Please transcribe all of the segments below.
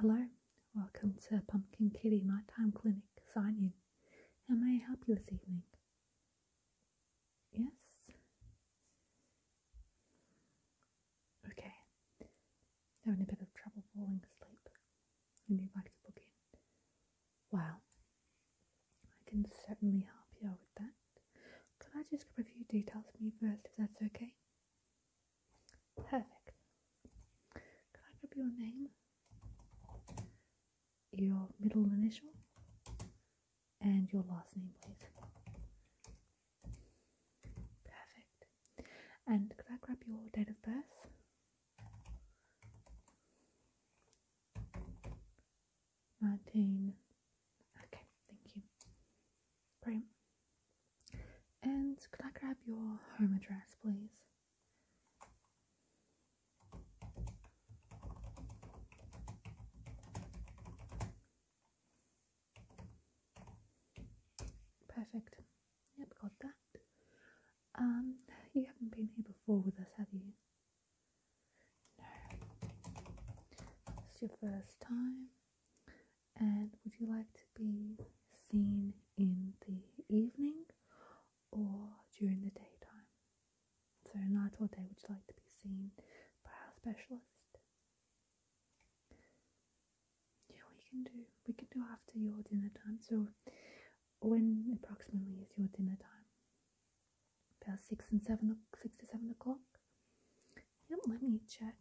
Hello, welcome to Pumpkin Kitty Nighttime Clinic sign in. How may I help you this evening? Yes? Okay. Having a bit of trouble falling asleep and if I could book in. Well, I can certainly help you out with that. Can I just grab a few details from you first, if that's okay? Perfect. Can I grab your name, your middle initial, and your last name, please? Perfect. And could I grab your date of birth? Nineteen. Okay, thank you. Great. And could I grab your home address, please? Perfect. Yep, got that. Um, you haven't been here before with us, have you? No. It's your first time. And would you like to be seen in the evening or during the daytime? So, night or day, would you like to be seen by our specialist? Yeah, we can do. We can do after your dinner time. So, when approximately is your dinner time? About six and seven, six to seven o'clock. Yep. Let me check.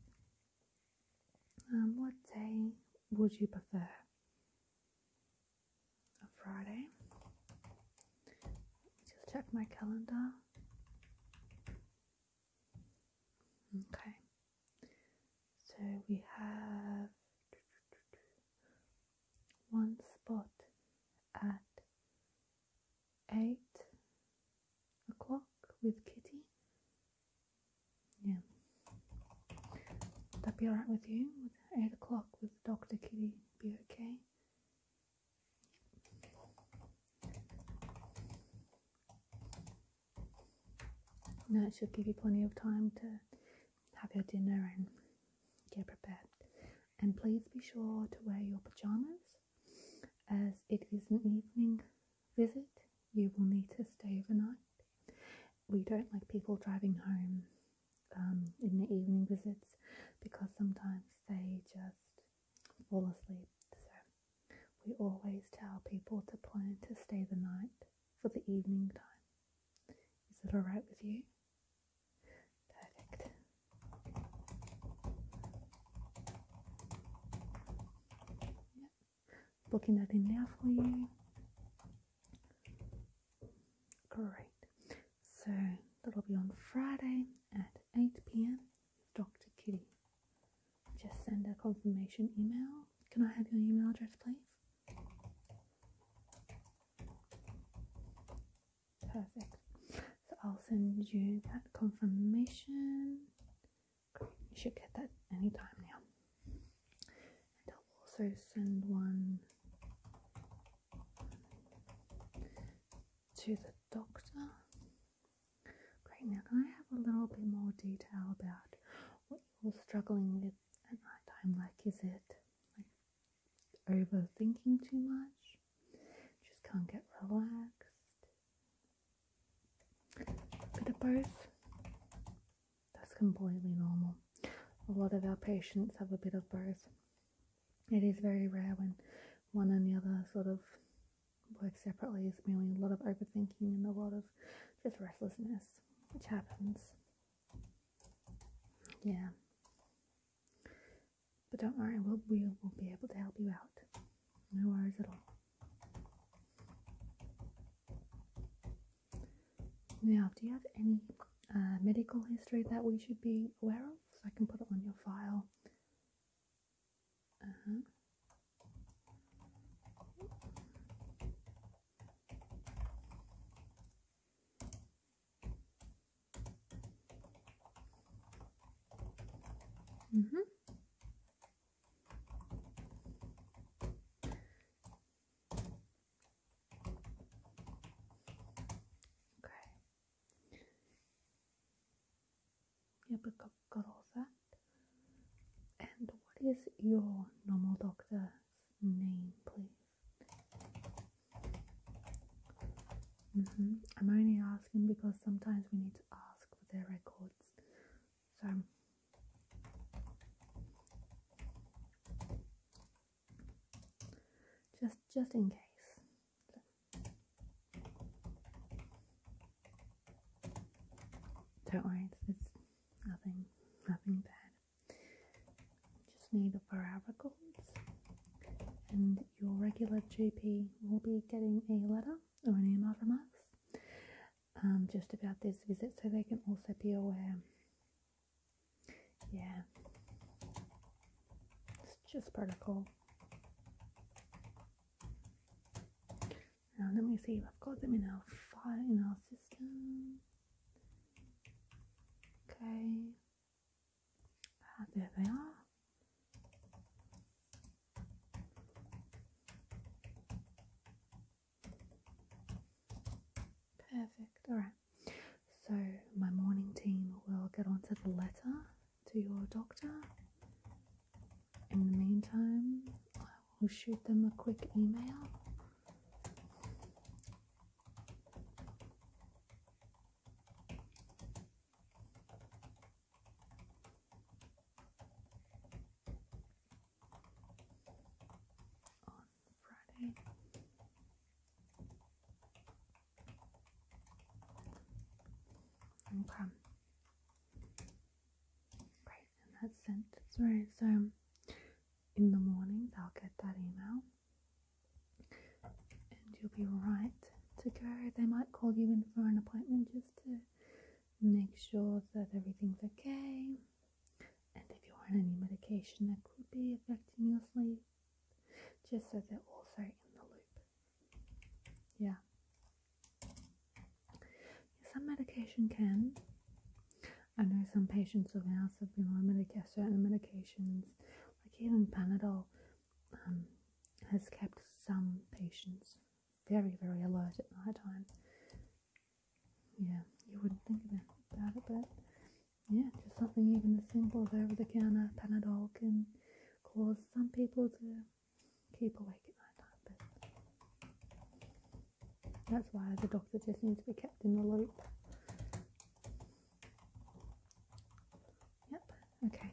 Um, what day would you prefer? Friday. Just check my calendar. Okay. So we have one spot at eight o'clock with Kitty. Yeah. Would that be alright with you? eight o'clock with Dr. Kitty be okay? that should give you plenty of time to have your dinner and get prepared. And please be sure to wear your pajamas as it is an evening visit. You will need to stay overnight. We don't like people driving home um, in the evening visits because sometimes they just fall asleep. We always tell people to plan to stay the night for the evening time. Is it alright with you? Perfect. Yep. Booking that in now for you. Great. So that'll be on Friday at 8 pm. Dr. Kitty just send a confirmation email. Can I have your email address, please? Perfect. So I'll send you that confirmation. Great. You should get that anytime now. And I'll also send one to the doctor. Great. Now, I have a little bit more detail about what you struggling with at night time. Like, is it like overthinking too much? Just can't get relaxed. Bit of both. That's completely normal. A lot of our patients have a bit of both. It is very rare when one and the other sort of work separately is mainly a lot of overthinking and a lot of just restlessness, which happens. Yeah. But don't worry, we'll, we will be able to help you out. No worries at all. Now, do you have any uh, medical history that we should be aware of? So I can put it on your file. Uh huh. Mm -hmm. Okay. Yeah, but I've got all that. And what is your normal doctor's name, please? Mm-hmm. I'm only asking because sometimes we need to ask for their records. So, just just in case. Don't worry, it's, nothing, nothing bad. Just need a barabra and your regular GP will be getting a letter or an email from us um, just about this visit, so they can also be aware. Yeah, it's just protocol. Now let me see I've got them in our file in our system. Okay. Ah, there they are. Perfect. All right. So my morning team will get onto the letter to your doctor in the meantime, I will shoot them a quick email. On Friday. Okay. Great in that sentence, right? So in the morning they'll get that email and you'll be right to go. They might call you in for an appointment just to make sure that everything's okay. And if you're on any medication that could be affecting your sleep, just so they're also in the loop. Yeah. Some medication can. I know some patients of ours have been on medica- certain medications, like even Panadol, um, has kept some patients very, very alert at night time. Yeah, you wouldn't think about it, but yeah, just something even as simple as over the counter Panadol can cause some people to keep awake at night time. But that's why the doctor just needs to be kept in the loop. Yep, okay.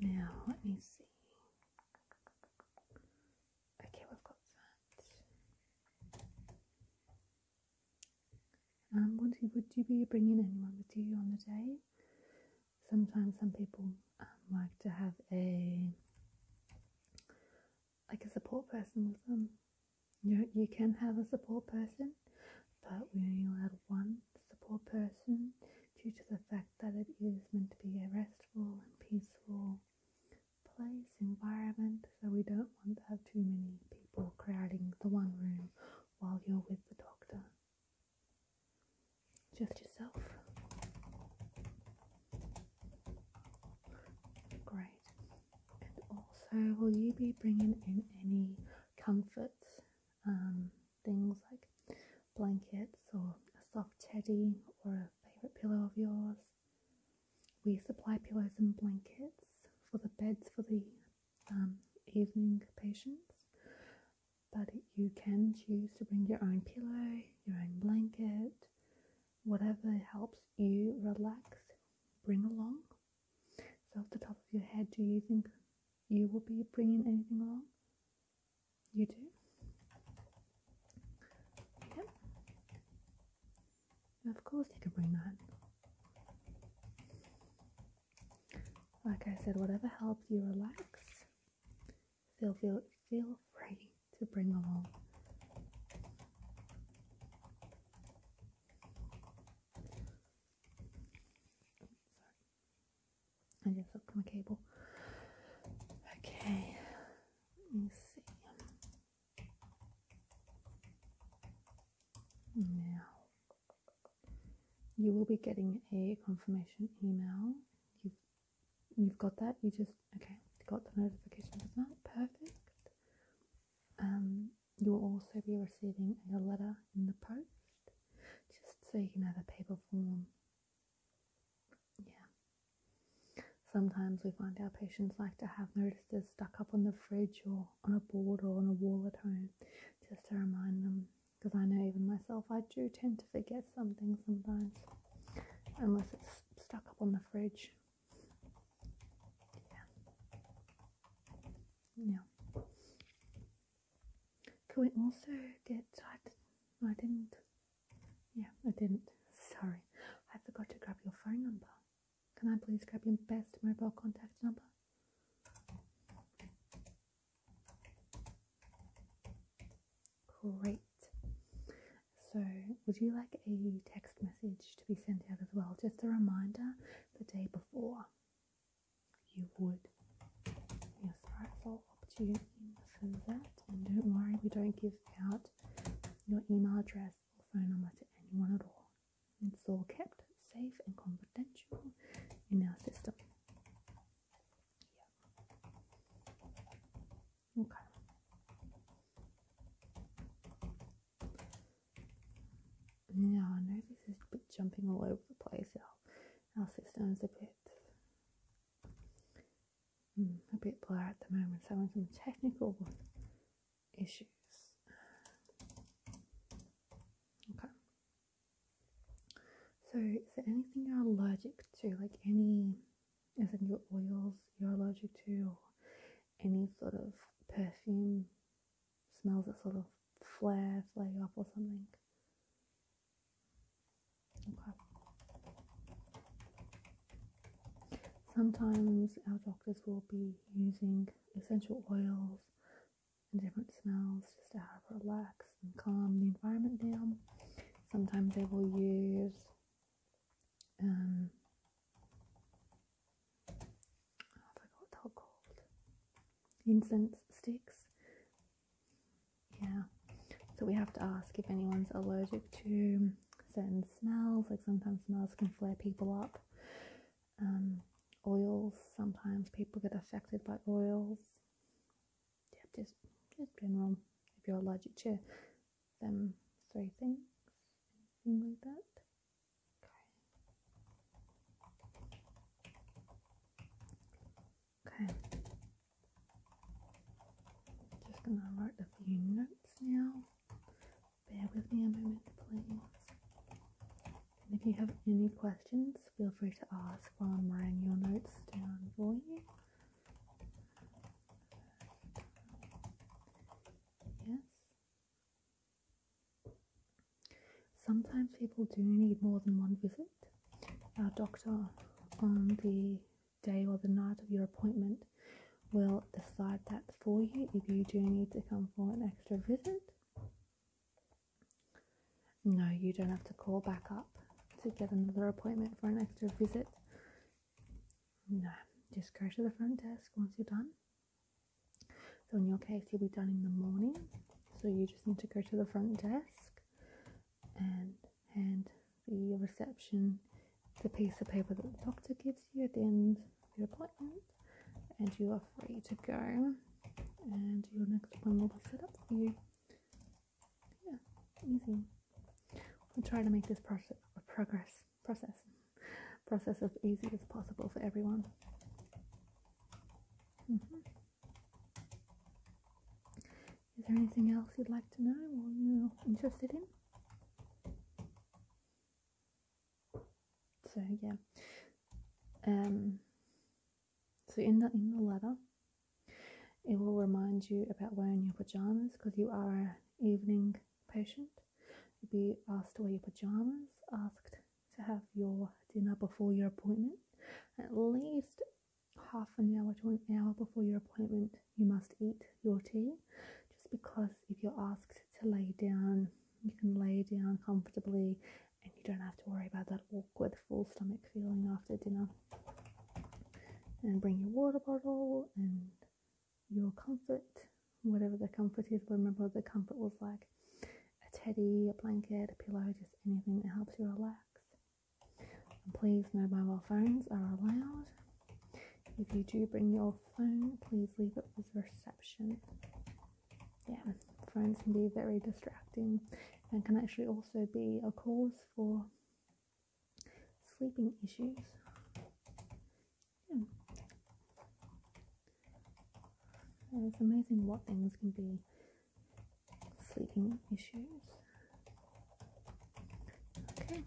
Now let me see. Okay, we've got that. Um, would you, would you be bringing anyone with you on the day? sometimes some people um, like to have a like a support person with them. You you can have a support person, but we only allow one support person due to the fact that it is meant to be a restful and peaceful place environment. So we don't want to have too many people crowding the one room while you're with the doctor. Just yourself. Great. And also, will you be bringing in any comforts? Um, things like blankets or a soft teddy or a favourite pillow of yours. We supply pillows and blankets for the beds for the um, evening patients but you can choose to bring your own pillow, your own blanket, whatever helps you relax, bring along. So, off the top of your head, do you think you will be bringing anything along? You do? Yep. Of course, you can bring that. Like I said, whatever helps you relax, feel feel feel free to bring along. Sorry, I just hooked my cable. Okay, let me see. Now, you will be getting a confirmation email you've you've got that. You just okay. Got the notification of that. Perfect. Um, you will also be receiving a letter in the post, just so you can have a paper form. Yeah. Sometimes we find our patients like to have notices stuck up on the fridge or on a board or on a wall at home, just to remind them because I know even myself, I do tend to forget something sometimes, unless it's stuck up on the fridge. Yeah. yeah. Can we also get? I didn't. Yeah, I didn't. Sorry, I forgot to grab your phone number. Can I please grab your best mobile contact number? Great. So, would you like a text message to be sent out as well? Just a reminder the day before. You would. Yes, right, so I'll opt you in for that. And don't worry, we don't give out your email address or phone number to anyone at all. It's all kept safe and confidential in our system. Yeah. Okay. Now I know this is jumping all over the place. Our, our system is a bit mm, a bit blurry at the moment. So having some technical issues. Okay. So, is there anything you're allergic to? Like any, essential oils you're allergic to, or any sort of perfume smells that sort of flare, flare up or something? Okay. Sometimes our doctors will be using essential oils and different smells just to help relax and calm the environment down. Sometimes they will use um I forgot what they called. Incense sticks. Yeah. So we have to ask if anyone's allergic to certain smells. Like sometimes smells can flare people up. Um, oils, sometimes people get affected by oils yeah, just just general. If you're allergic to them three things, anything like that. Okay. Okay. Just gonna write a few notes now. Bear with me a moment, please. And if you have any questions, feel free to ask while I'm writing your notes down for you. Yes. Sometimes people do need more than one visit. Our doctor, on the day or the night of your appointment, will decide that for you if you do need to come for an extra visit. No, you don't have to call back up to get another appointment for an extra visit. No, just go to the front desk once you're done. So, in your case, you'll be done in the morning. So, you just need to go to the front desk and hand the reception the piece of paper that the doctor gives you at the end of your appointment, and you are free to go and your next one will be set up for you. Yeah, easy. I'll try to make this process a progress process process as easy as possible for everyone. Mm -hmm. Is there anything else you'd like to know or you're interested in? So yeah. Um so in the in the letter, it will remind you about wearing your pajamas because you are an evening patient. You'll be asked to wear your pajamas, asked to have your dinner before your appointment. At least half an hour to an hour before your appointment, you must eat your tea. Just because if you're asked to lay down, you can lay down comfortably and you don't have to worry about that awkward full stomach feeling after dinner. And bring your water bottle and your comfort, whatever the comfort is. Remember the comfort was like a teddy, a blanket, a pillow, just anything that helps you relax. please, no mobile phones are allowed. If you do bring your phone, please leave it with reception yeah, phones can be very distracting and can actually also be a cause for sleeping issues. Yeah. it's amazing what things can be sleeping issues. Okay.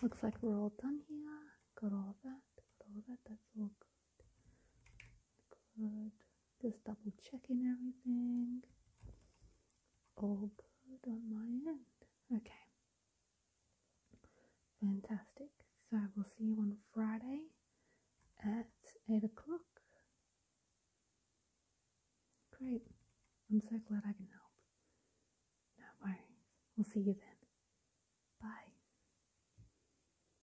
Looks like we're all done here. Got all that, got all that, that's all good. Good. Just double checking everything. All good on my end. Okay. Fantastic. So we'll see you on Friday at 8 o'clock. Great. I'm so glad I can help. No worries. We'll see you then. Bye.